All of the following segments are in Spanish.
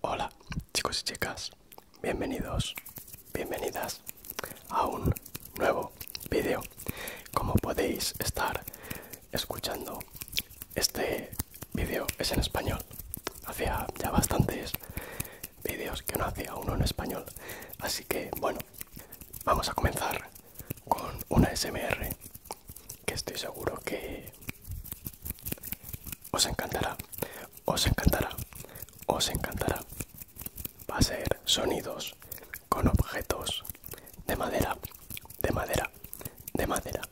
Hola chicos y chicas, bienvenidos, bienvenidas a un nuevo vídeo. Como podéis estar escuchando, este vídeo es en español. Hacía ya bastantes vídeos que no hacía uno en español. Así que bueno, vamos a comenzar con una SMR que estoy seguro que os encantará, os encantará, os encantará. Va a ser sonidos con objetos de madera, de madera, de madera,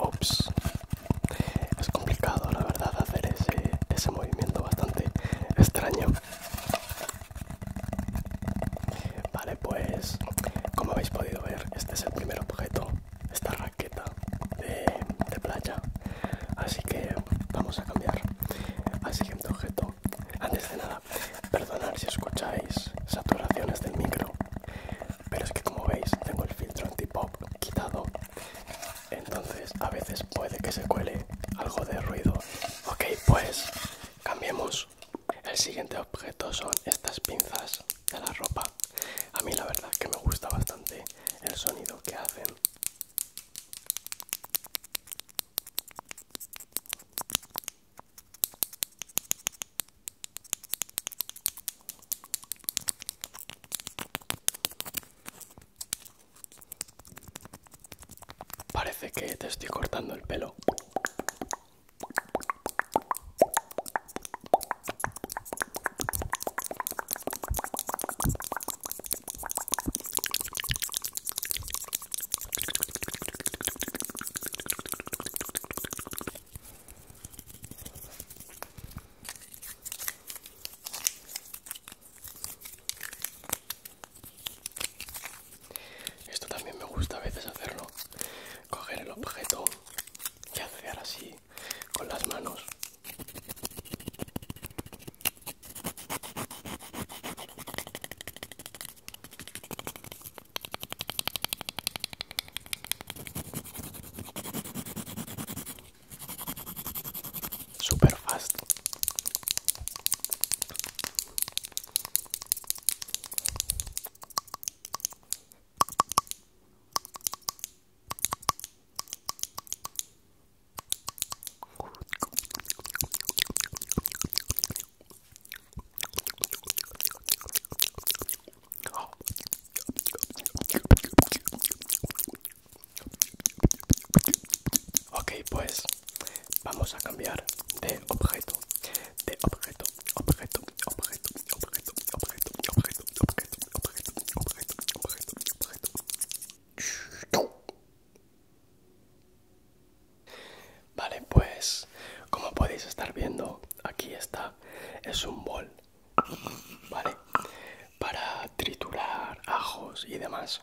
Ops, es complicado la verdad hacer ese, ese movimiento bastante extraño. Vale, pues como habéis podido ver, este es el primer objeto, esta raqueta de, playa. Así que vamos a cambiar al siguiente objeto. Antes de nada, perdonad si escucháis saturaciones del micro, pero es que como veis tengo el filtro anti-pop quitado entonces a veces puede que se cuele algo de ruido ok pues cambiemos el siguiente objeto son estas pinzas de la ropa a mí la verdad que me gusta bastante el sonido que hacen Parece que te estoy cortando el pelo. Esto también me gusta a veces hacerlo. Coger el objeto y hacer así con las manos super fast Ok, pues vamos a cambiar de objeto, de objeto, objeto, objeto, objeto, objeto, objeto, objeto, objeto, objeto, objeto, objeto. Vale, pues como podéis estar viendo, aquí está, es un bol ¿vale? Para triturar ajos y demás.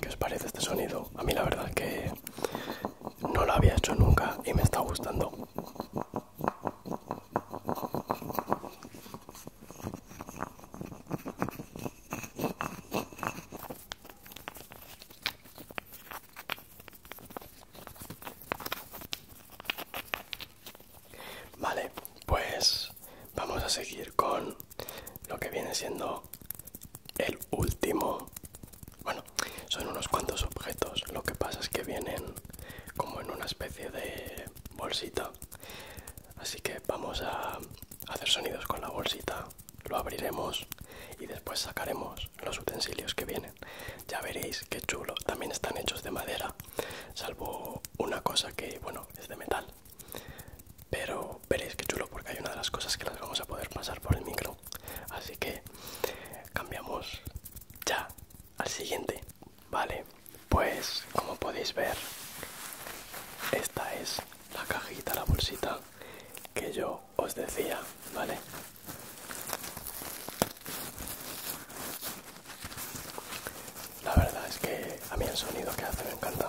¿Qué os parece este sonido? A mí la verdad que no lo había hecho nunca y me está gustando. Vale, pues vamos a seguir con lo que viene siendo el último. Bueno, son unos cuantos objetos. Lo que pasa es que vienen como en una especie de bolsita. Así que vamos a hacer sonidos con la bolsita. Lo abriremos y después sacaremos los utensilios que vienen. Ya veréis qué chulo. También están hechos de madera, salvo una cosa que, bueno, es de metal. Pero veréis que chulo porque hay una de las cosas que las vamos a poder pasar por el micro. Así que cambiamos ya al siguiente. Vale, pues como podéis ver, esta es la cajita, la bolsita que yo os decía, ¿vale? La verdad es que a mí el sonido que hace me encanta.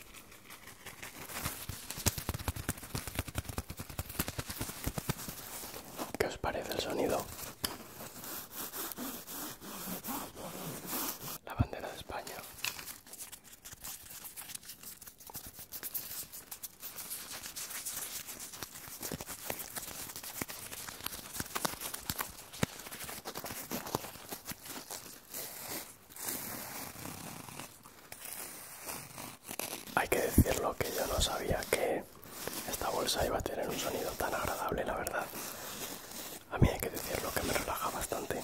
¿Qué os parece el sonido? La bandera de España. Hay que decirlo que yo no sabía que esta bolsa iba a tener un sonido tan agradable, la verdad. A mí hay que decirlo que me relaja bastante.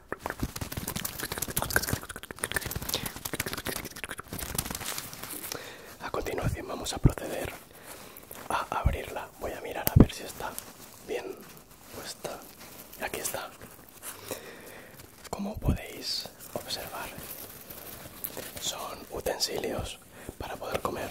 A continuación vamos a proceder a abrirla. Voy a mirar a ver si está bien puesta. Aquí está. Como podéis observar, son utensilios para poder comer.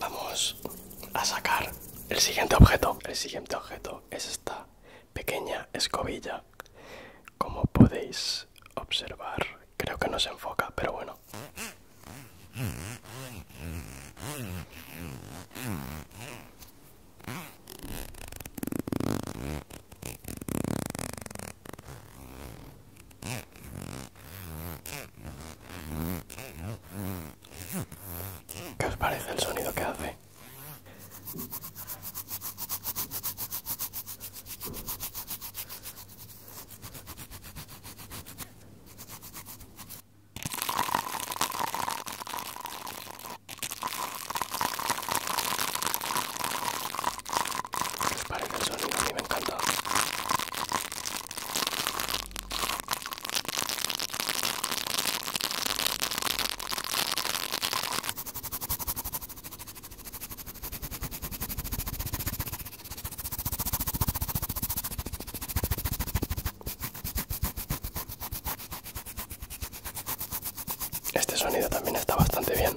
Vamos a sacar el siguiente objeto. El siguiente objeto es esta pequeña escobilla. Como podéis observar, creo que no se enfoca, pero bueno. ¿Qué os parece el sonido que hace? ¿Qué os parece el sonido? A mí me encanta. Este sonido también está bastante bien.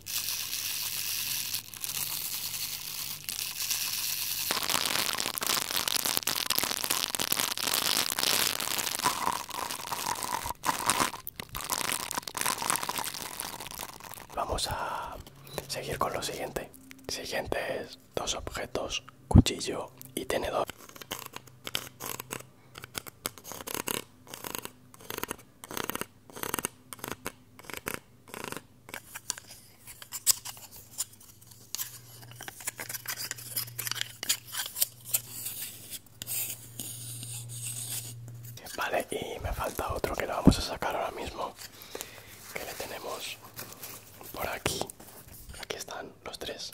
Vamos a seguir con lo siguiente. siguiente es dos objetos, cuchillo y tenedor. Vale, y me falta otro que lo vamos a sacar ahora mismo. Que le tenemos por aquí. Aquí están los tres.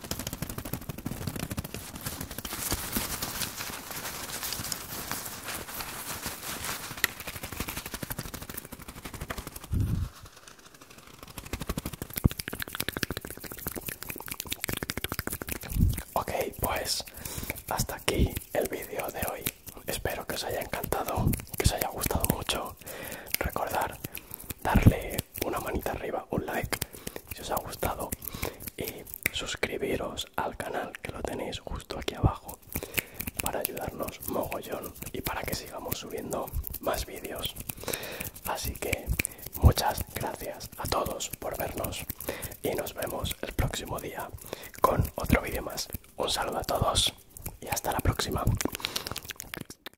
Ok, pues hasta aquí el vídeo de hoy. Espero que os haya encantado, que os haya gustado mucho. Recordar darle una manita arriba, un like si os ha gustado y eh, suscribiros al canal que lo tenéis justo aquí abajo para ayudarnos mogollón y para que sigamos subiendo más vídeos. Así que muchas gracias a todos por vernos y nos vemos el próximo día con otro vídeo más. Un saludo a todos y hasta la próxima.